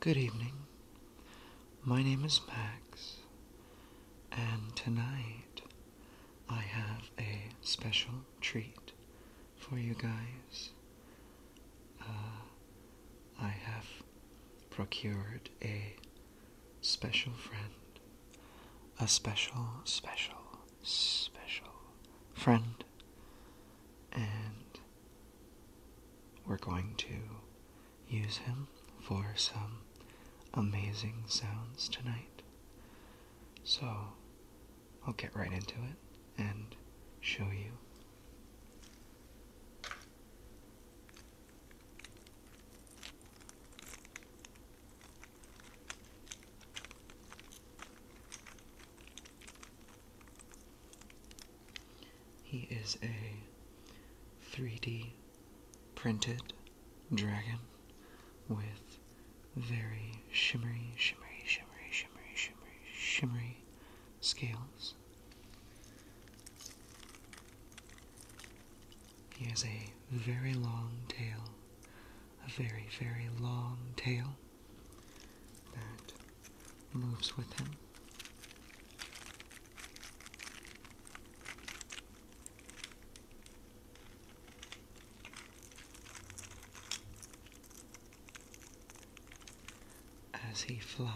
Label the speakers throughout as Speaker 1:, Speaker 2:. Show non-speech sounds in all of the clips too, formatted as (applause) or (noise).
Speaker 1: Good evening. My name is Max, and tonight I have a special treat for you guys. Uh, I have procured a special friend, a special, special, special friend, and we're going to use him for some amazing sounds tonight. So, I'll get right into it and show you. He is a 3D printed dragon with very shimmery, shimmery, shimmery, shimmery, shimmery, shimmery scales. He has a very long tail, a very, very long tail that moves with him. As he flies,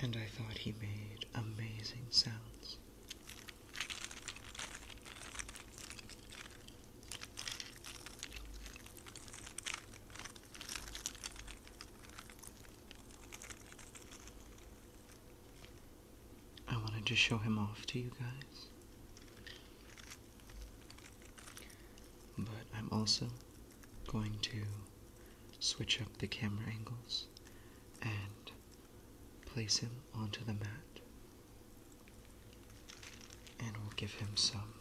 Speaker 1: and I thought he made amazing sounds. I wanted to show him off to you guys. But I'm also going to switch up the camera angles and place him onto the mat. And we'll give him some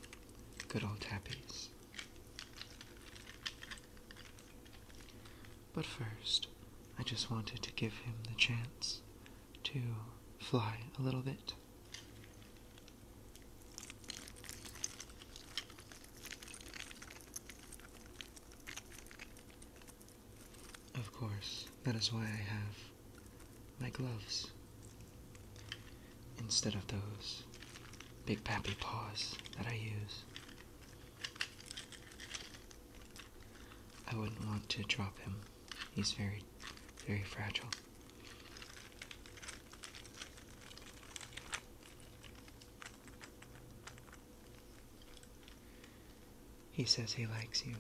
Speaker 1: good old tappies. But first, I just wanted to give him the chance to fly a little bit. Of course, that is why I have my gloves instead of those big pappy paws that I use. I wouldn't want to drop him. He's very, very fragile. He says he likes you.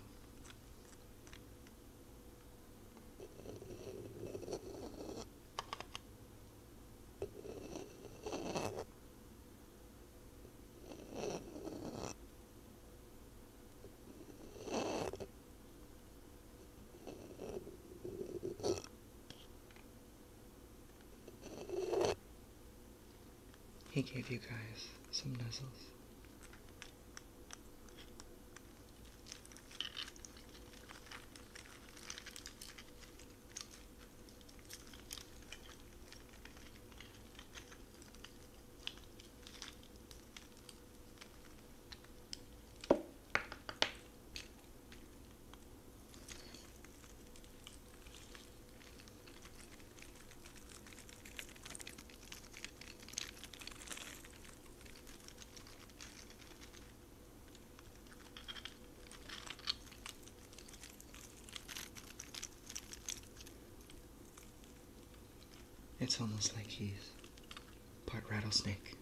Speaker 1: He gave you guys some nuzzles. It's almost like he's part rattlesnake. (laughs)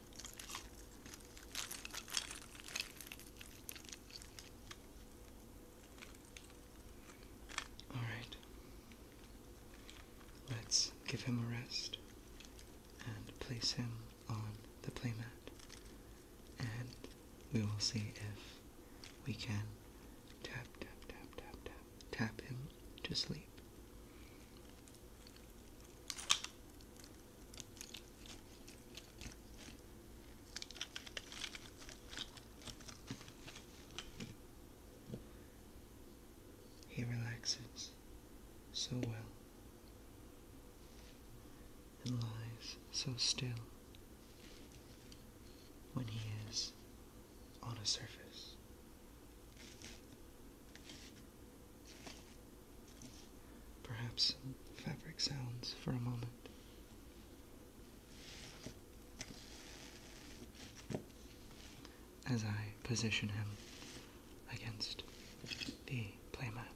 Speaker 1: All right. Let's give him a rest and place him on the playmat, and we will see if we can tap, tap, tap, tap, tap, tap him to sleep. He relaxes so well and lies so still when he is on a surface. Perhaps some fabric sounds for a moment. As I position him against the playmat.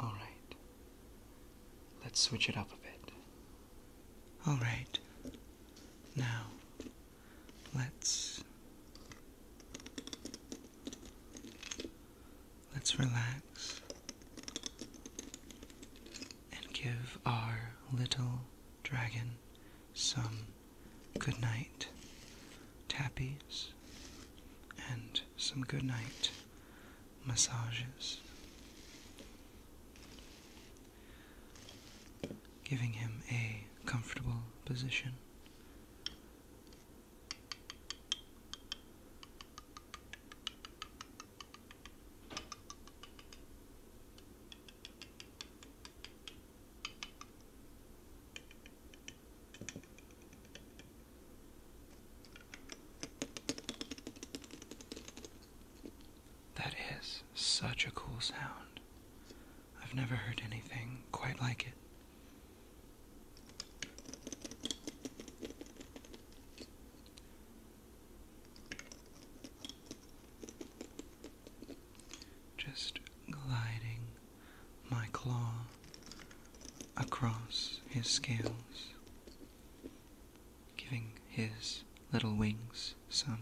Speaker 1: All right, let's switch it up a bit. All right. Now, let's let's relax and give our little dragon some good night tappies and some good night massages giving him a comfortable position. That is such a cool sound. I've never heard anything quite like it. Just gliding my claw across his scales giving his little wings some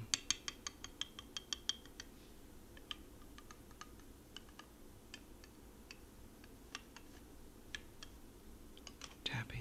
Speaker 1: tappies.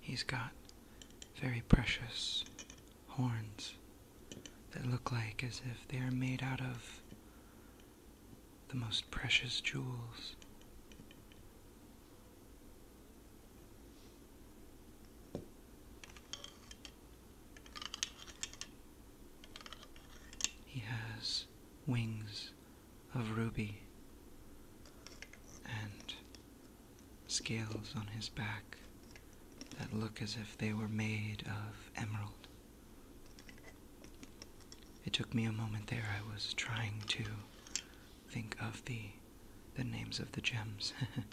Speaker 1: He's got very precious horns that look like as if they are made out of the most precious jewels. He has wings of ruby and scales on his back that look as if they were made of emerald. It took me a moment there. I was trying to think of the the names of the gems. (laughs)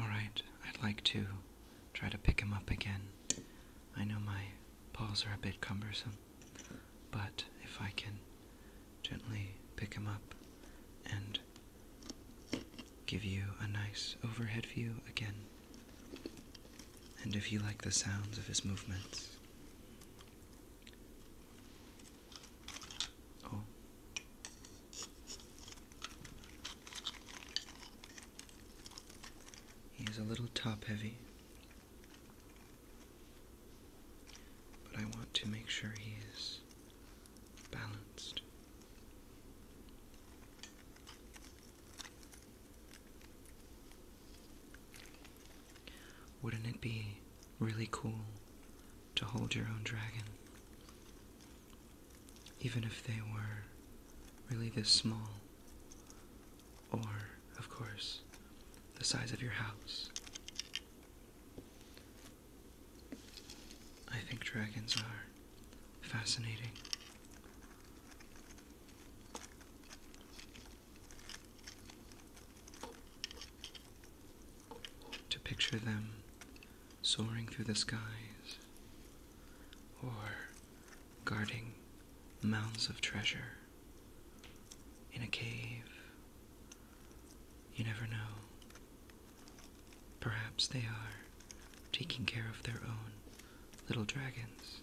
Speaker 1: Alright, I'd like to try to pick him up again. I know my paws are a bit cumbersome, but if I can gently pick him up and give you a nice overhead view again. And if you like the sounds of his movements, Oh. He is a little top heavy, but I want to make sure he is balanced. Wouldn't it be really cool to hold your own dragon? Even if they were really this small, or, of course, the size of your house. I think dragons are fascinating to picture them soaring through the skies or guarding mounds of treasure in a cave. You never know. Perhaps they are taking care of their own little dragons.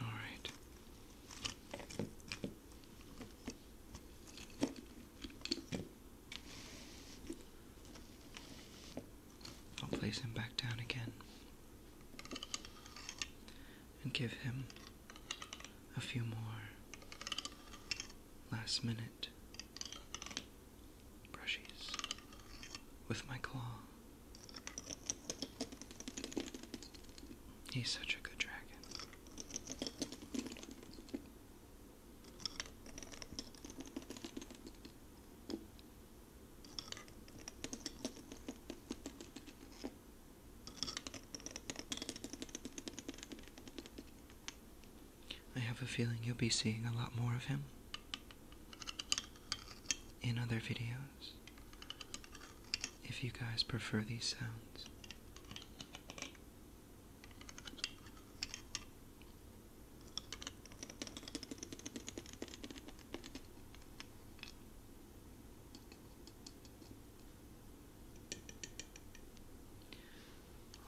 Speaker 1: All right. I'll place him back down again and give him a few more last minute brushes with my claw. He's such a good dragon. I have a feeling you'll be seeing a lot more of him in other videos. If you guys prefer these sounds,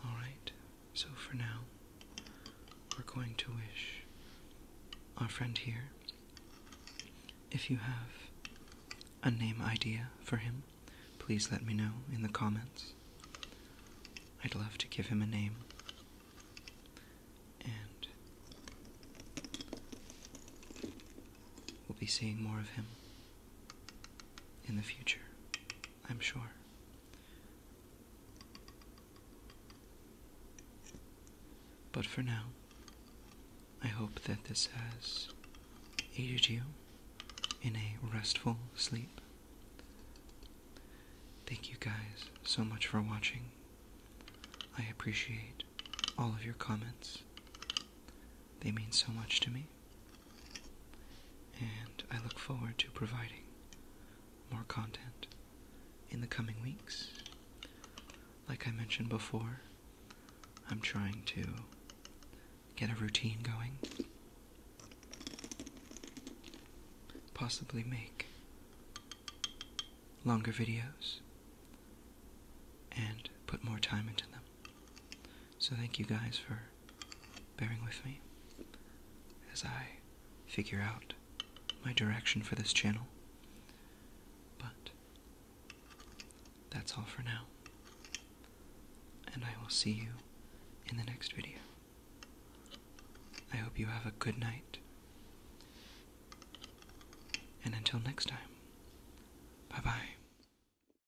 Speaker 1: Alright, so for now, we're going to wish our friend here, if you have a name idea for him, please let me know in the comments. I'd love to give him a name. And we'll be seeing more of him in the future, I'm sure. But for now, I hope that this has aided you in a restful sleep. Thank you guys so much for watching. I appreciate all of your comments they mean so much to me, and I look forward to providing more content in the coming weeks. Like I mentioned before, I'm trying to get a routine going, possibly make longer videos and put more time into them. So thank you guys for bearing with me as I figure out my direction for this channel. But that's all for now. And I will see you in the next video. I hope you have a good night. And until next time, bye bye.